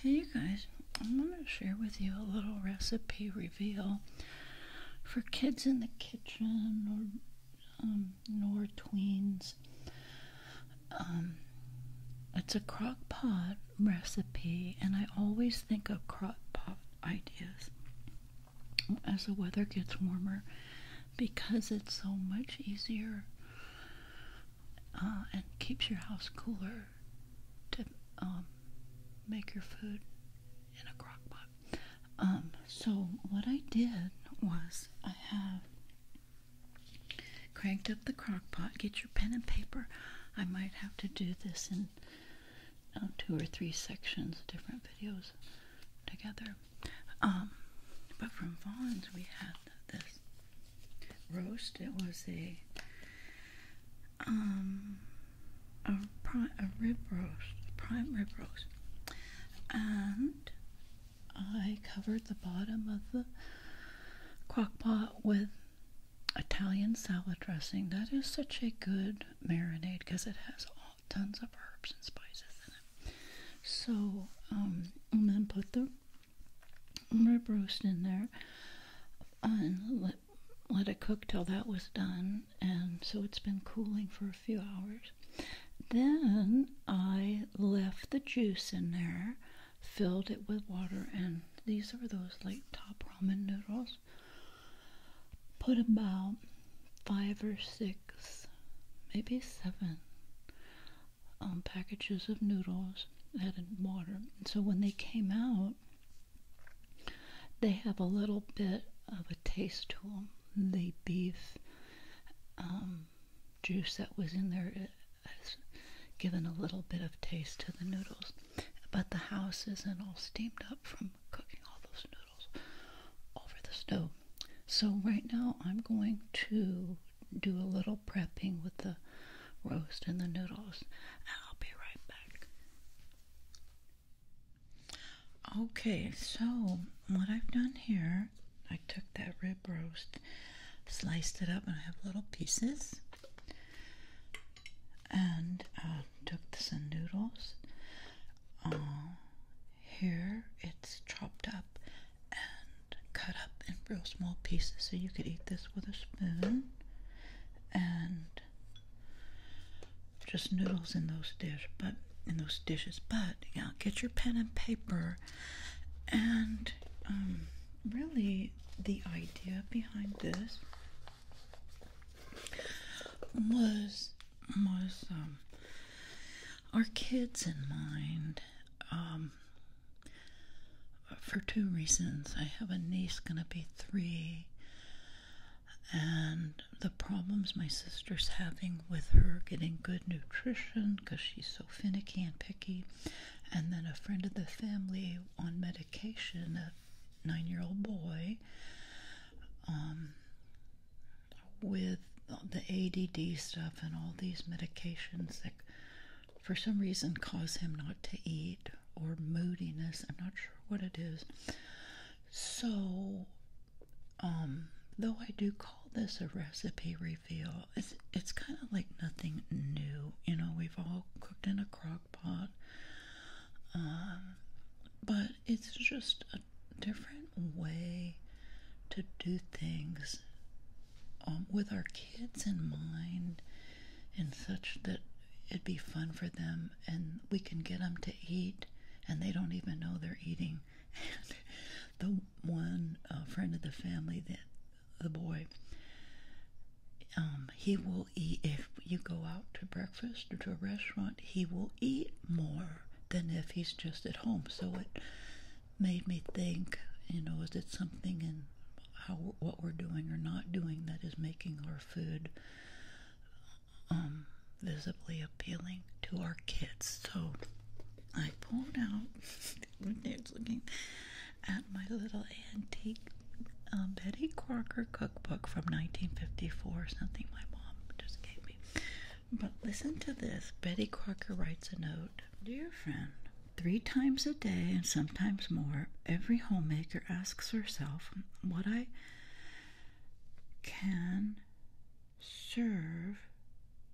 Hey you guys, I'm going to share with you a little recipe reveal for kids in the kitchen or um, tweens. Um, it's a crock pot recipe and I always think of crock pot ideas as the weather gets warmer because it's so much easier uh, and keeps your house cooler to um, make your food in a crock pot. Um, so what I did was I have cranked up the crock pot. Get your pen and paper. I might have to do this in uh, two or three sections, different videos together. Um, but from Vaughn's we have this roast. It was a um a, rib roast, prime rib roast, and I covered the bottom of the crock pot with Italian salad dressing. That is such a good marinade because it has tons of herbs and spices in it. So, um, and then put the rib roast in there and let, let it cook till that was done. And so it's been cooling for a few hours. Then I left the juice in there, filled it with water, and these are those like top ramen noodles. Put about five or six, maybe seven um, packages of noodles that had water. And so when they came out, they have a little bit of a taste to them. The beef um, juice that was in there has given a little bit of taste to the noodles. But the house isn't all steamed up from cooking all those noodles over the stove. So right now I'm going to do a little prepping with the roast and the noodles and I'll be right back. Okay, so what I've done here, I took that rib roast, sliced it up and I have little pieces and I uh, took some noodles. Uh, here it's chopped up and cut up in real small pieces so you could eat this with a spoon and just noodles in those dish but in those dishes but you get your pen and paper and um, really the idea behind this was was um, our kids in mind um, for two reasons. I have a niece going to be three, and the problems my sister's having with her getting good nutrition because she's so finicky and picky, and then a friend of the family on medication, a nine year old boy. Um, with the ADD stuff and all these medications that for some reason cause him not to eat or moodiness. I'm not sure what it is. So, um, though I do call this a recipe reveal, it's, it's kind of like nothing new. You know, we've all cooked in a crock pot. Um, but it's just a different way to do things um, with our kids in mind and such that it'd be fun for them and we can get them to eat and they don't even know they're eating and the one uh, friend of the family that the boy um, he will eat if you go out to breakfast or to a restaurant he will eat more than if he's just at home. So it made me think, you know, is it something in how what we're doing or not doing that is making our food um, visibly appealing to our kids? So I pulled out. Dave's looking at my little antique um, Betty Crocker cookbook from 1954, something my mom just gave me. But listen to this Betty Crocker writes a note Dear friend, three times a day and sometimes more, every homemaker asks herself what I can serve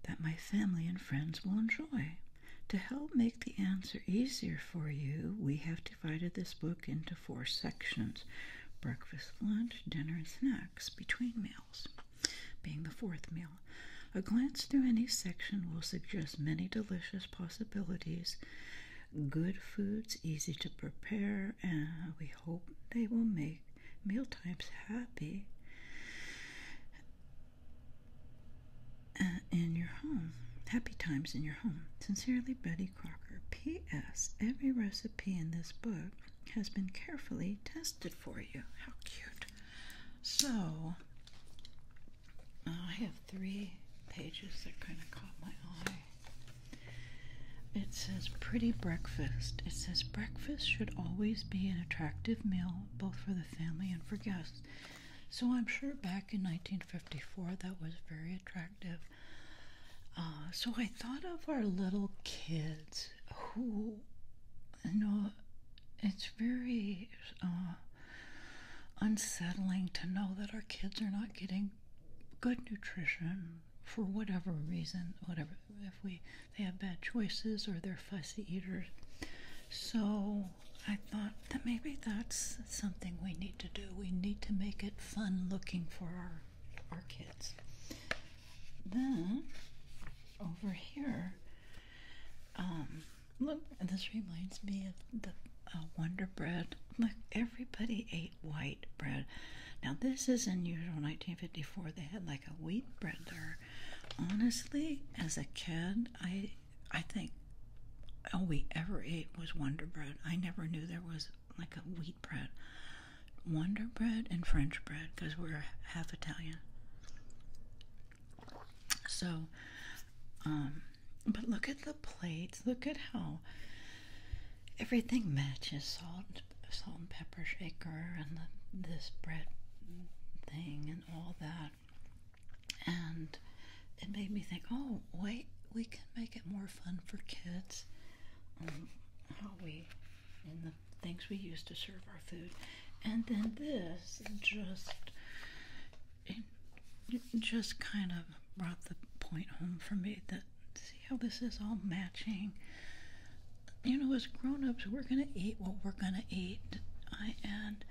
that my family and friends will enjoy. To help make the answer easier for you, we have divided this book into four sections breakfast, lunch, dinner, and snacks between meals being the fourth meal. A glance through any section will suggest many delicious possibilities, good foods easy to prepare, and we hope they will make meal times happy uh, in your home. Happy times in your home. Sincerely, Betty Crocker. P.S. Every recipe in this book has been carefully tested for you. How cute. So, I have three pages that kind of caught my eye. It says pretty breakfast. It says breakfast should always be an attractive meal both for the family and for guests. So I'm sure back in 1954 that was very attractive. Uh, so I thought of our little kids who you know it's very uh, unsettling to know that our kids are not getting good nutrition for whatever reason whatever if we they have bad choices or they're fussy eaters so i thought that maybe that's something we need to do we need to make it fun looking for our our kids. Then over here, um, look, this reminds me of the uh, Wonder Bread. Look, everybody ate white bread. Now this is unusual. 1954, they had like a wheat bread there. Honestly, as a kid, I I think all we ever ate was Wonder Bread. I never knew there was like a wheat bread, Wonder bread, and French bread because we're half Italian. So, um, but look at the plates. Look at how everything matches salt, salt and pepper shaker, and this bread thing, and all that. And it made me think, oh, wait, we can make it more fun for kids. Um, how we and the things we use to serve our food. And then this just just kind of brought the point home for me that see how this is all matching. You know, as grown-ups, we're gonna eat what we're gonna eat. I and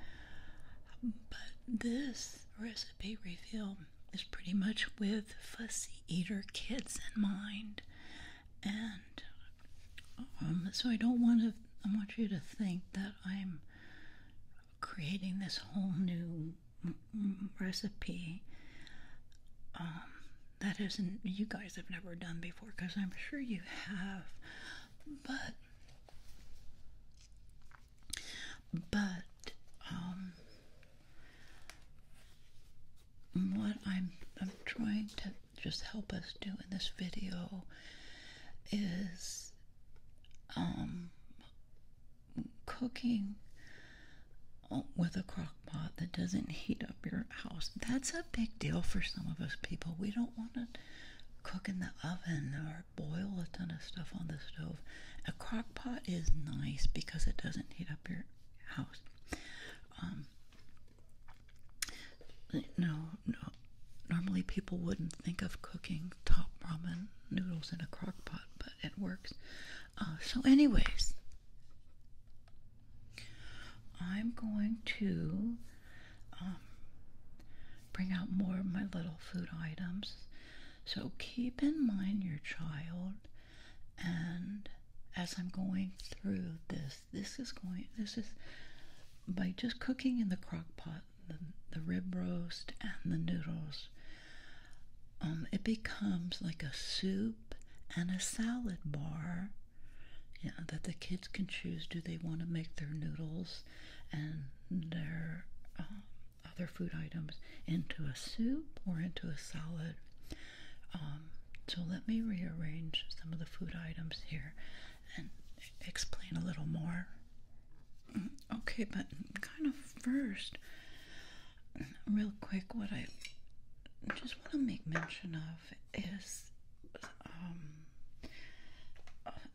but this recipe revealed is pretty much with fussy eater kids in mind, and um, so I don't want to. I want you to think that I'm creating this whole new recipe um, that isn't you guys have never done before because I'm sure you have, but but um, what I'm, I'm trying to just help us do in this video is um, cooking uh, with a crock pot that doesn't heat up your house. That's a big deal for some of us people. We don't want to cook in the oven or boil a ton of stuff on the stove. A crock pot is nice because it doesn't heat up your house. Um, no, no. Normally, people wouldn't think of cooking top ramen noodles in a crock pot, but it works. Uh, so, anyways, I'm going to um, bring out more of my little food items. So, keep in mind your child and as I'm going through this, this is going, this is by just cooking in the crock pot the, rib roast and the noodles, um, it becomes like a soup and a salad bar Yeah, that the kids can choose. Do they want to make their noodles and their um, other food items into a soup or into a salad. Um, so let me rearrange some of the food items here and explain a little more. Mm, okay, but kind of first, real quick, what I just want to make mention of is um,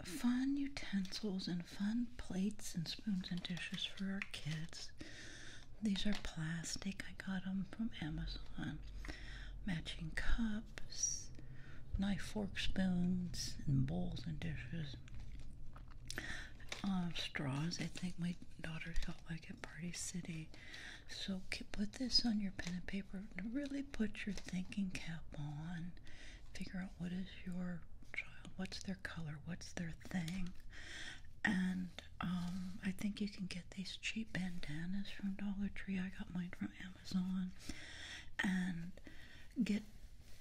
fun utensils and fun plates and spoons and dishes for our kids. These are plastic. I got them from Amazon. Matching cups, knife, fork, spoons, and bowls and dishes. Uh, straws. I think my daughter got like at Party City. So put this on your pen and paper. Really put your thinking cap on. Figure out what is your child? What's their color? What's their thing? And um, I think you can get these cheap bandanas from Dollar Tree. I got mine from Amazon. And get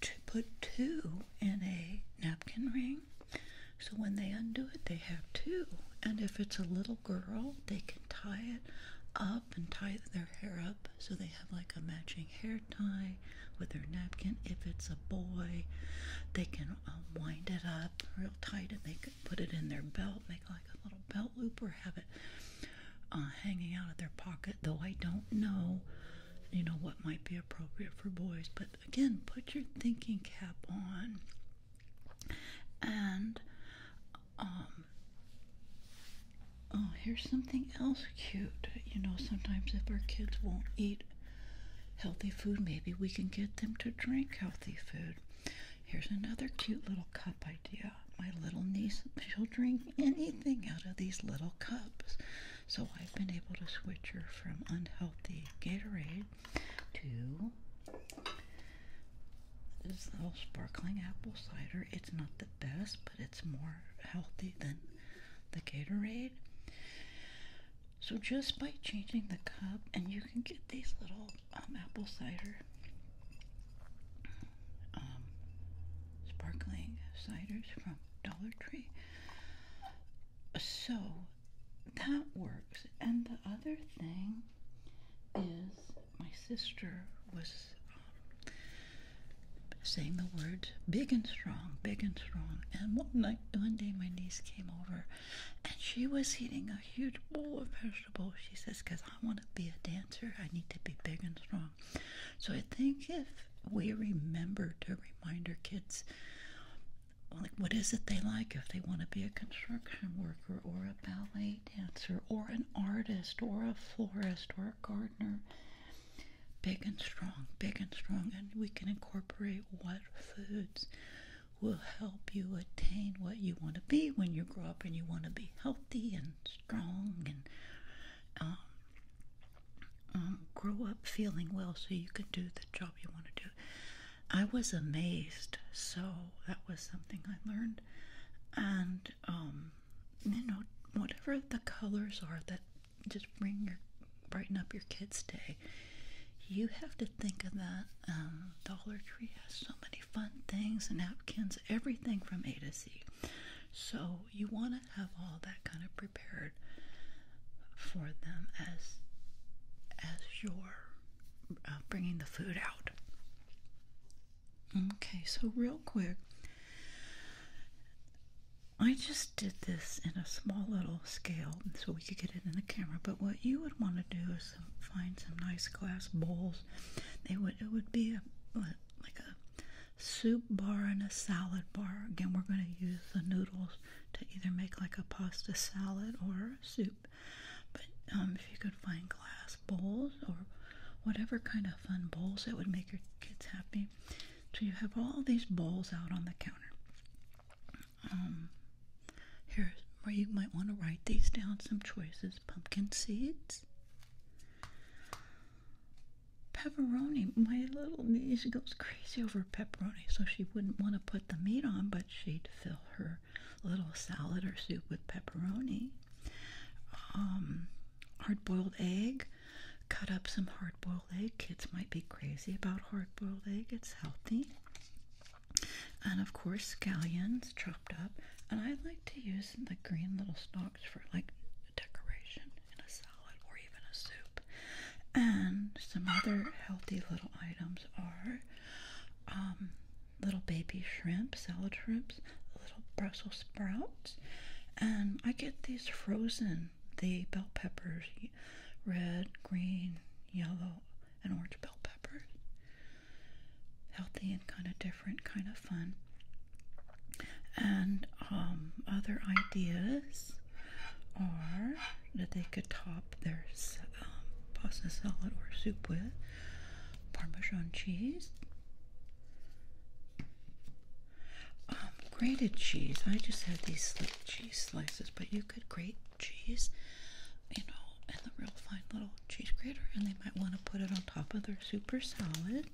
to put two in a napkin ring. So when they undo it, they have two. And if it's a little girl, they can tie it up and tie their hair up so they have like a matching hair tie with their napkin. If it's a boy, they can um, wind it up real tight and they can put it in their belt, make like a little belt loop, or have it uh, hanging out of their pocket. Though I don't know, you know, what might be appropriate for boys. But again, put your thinking cap on and um, oh here's something else cute you know sometimes if our kids won't eat healthy food, maybe we can get them to drink healthy food. Here's another cute little cup idea. My little niece, she'll drink anything out of these little cups. So I've been able to switch her from unhealthy Gatorade to this little sparkling apple cider. It's not the best, but it's more healthy than the Gatorade. So just by changing the cup, and you can get these little um, apple cider, um, sparkling ciders from Dollar Tree. So that works. And the other thing is, my sister was um, saying the words big and strong, big and strong. And one night, one day, my niece came over and she was eating a huge bowl of vegetables. She says, Because I want to be a dancer, I need to be big and strong. So I think if we remember to remind our kids, like, what is it they like if they want to be a construction worker or a ballet dancer or an artist or a florist or a gardener? big and strong, big and strong, and we can incorporate what foods will help you attain what you want to be when you grow up and you want to be healthy and strong and um, um, grow up feeling well so you can do the job you want to do. I was amazed, so that was something I learned. And, um, you know, whatever the colors are that just bring your brighten up your kids' day. You have to think of that. Um, Dollar Tree has so many fun things, napkins, everything from A to C. So you want to have all that kind of prepared for them as as you're uh, bringing the food out. Okay, so real quick, I just did this in a small little scale so we could get it in the camera. But what you would want to do is find some nice glass bowls. They would it would be a like a soup bar and a salad bar. Again, we're going to use the noodles to either make like a pasta salad or soup. But um, if you could find glass bowls or whatever kind of fun bowls it would make your kids happy, so you have all these bowls out on the counter. Um, here's where you might want to write these down some choices pumpkin seeds, pepperoni. My little niece goes crazy over pepperoni, so she wouldn't want to put the meat on, but she'd fill her little salad or soup with pepperoni. Um, hard boiled egg, Cut up some hard boiled egg. Kids might be crazy about hard boiled egg, it's healthy. And of course, scallions chopped up. And I like to use the green little stalks for like decoration in a salad or even a soup. And some other healthy little items are um, little baby shrimp, salad shrimp. Brussels sprouts. And I get these frozen, the bell peppers, red, green, yellow, and orange bell peppers. Healthy and kind of different, kind of fun. And um, other ideas are that they could top their um, pasta salad or soup with Parmesan cheese, um, grated cheese. I just had these slick cheese slices, but you could grate cheese, you know, in the real fine little cheese grater, and they might want to put it on top of their super salad.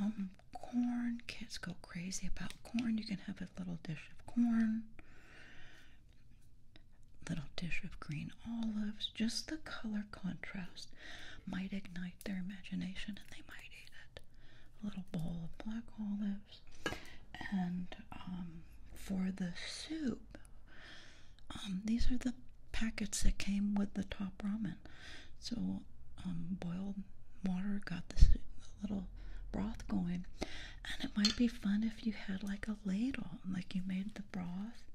Um, corn. Kids go crazy about corn. You can have a little dish of corn. Little dish of green olives, just the color contrast, might ignite their imagination and they might eat it. A little bowl of black olives. And um, for the soup, um, these are the packets that came with the top ramen. So, um, boiled water got this little broth going, and it might be fun if you had like a ladle, like you made the broth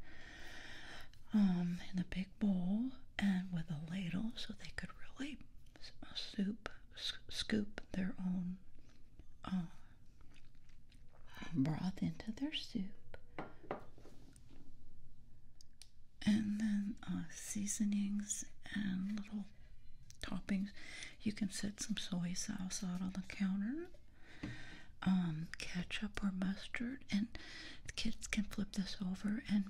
in a big bowl and with a ladle so they could really uh, soup, scoop their own uh, broth into their soup. And then uh, seasonings and little toppings. You can set some soy sauce out on the counter, um, ketchup or mustard and kids can flip this over and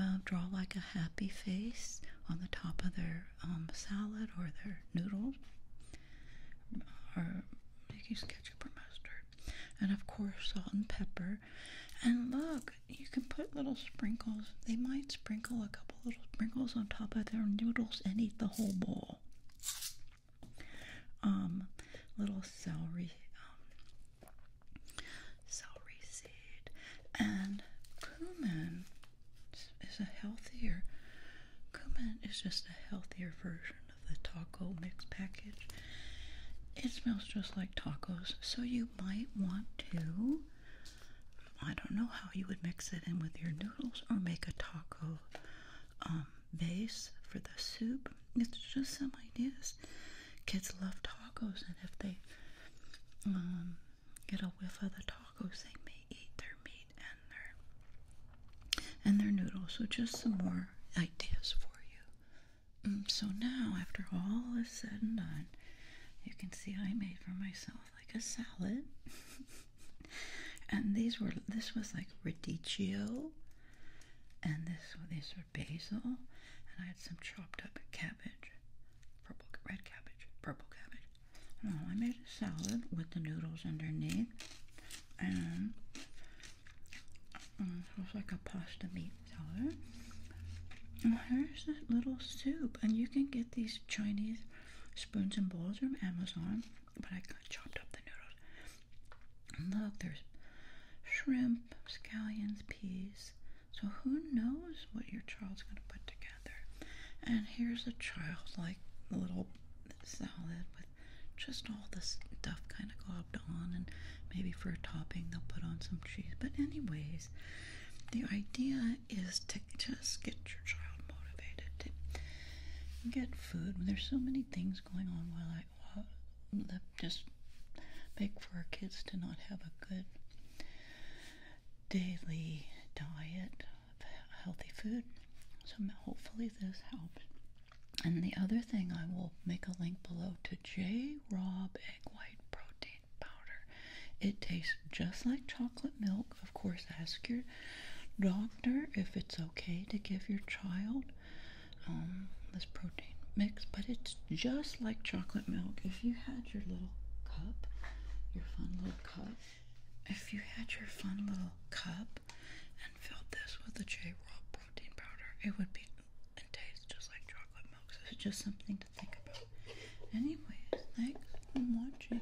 uh, draw like a happy face on the top of their um, salad or their noodles, or you can use ketchup or mustard, and of course salt and pepper. And look, you can put little sprinkles. They might sprinkle a couple little sprinkles on top of their noodles and eat the whole bowl um, little celery, um, celery seed, and cumin is a healthier. Cumin is just a healthier version of the taco mix package. It smells just like tacos, so you might want to. I don't know how you would mix it in with your noodles or make a taco um, base for the soup, it's just some ideas. Kids love tacos, and if they um, get a whiff of the tacos, they may eat their meat and their and their noodles. So just some more ideas for you. Mm, so now, after all is said and done, you can see I made for myself like a salad. and these were this was like radicchio and this these are basil, and I had some chopped up cabbage, purple red cabbage, purple cabbage. Oh, I made a salad with the noodles underneath, and um, it was like a pasta meat salad. And here's this little soup, and you can get these Chinese spoons and bowls from Amazon, but I chopped up the noodles look, there's shrimp, scallions, peas. So who knows what your child's going to put together? And here's a childlike little salad with just all this stuff kind of globbed on, and maybe for a topping they'll put on some cheese. But anyways, the idea is to just get your child motivated to get food. There's so many things going on while I just make for our kids to not have a good daily diet of healthy food. So hopefully this helps. And the other thing, I will make a link below to J. Rob Egg White Protein Powder. It tastes just like chocolate milk. Of course, ask your doctor if it's okay to give your child um, this protein mix, but it's just like chocolate milk. If you had your little cup, your fun little cup, if you had your fun little cup and filled this with the J Raw protein powder, it would be and taste just like chocolate milk. So it's just something to think about. Anyways, thanks for watching.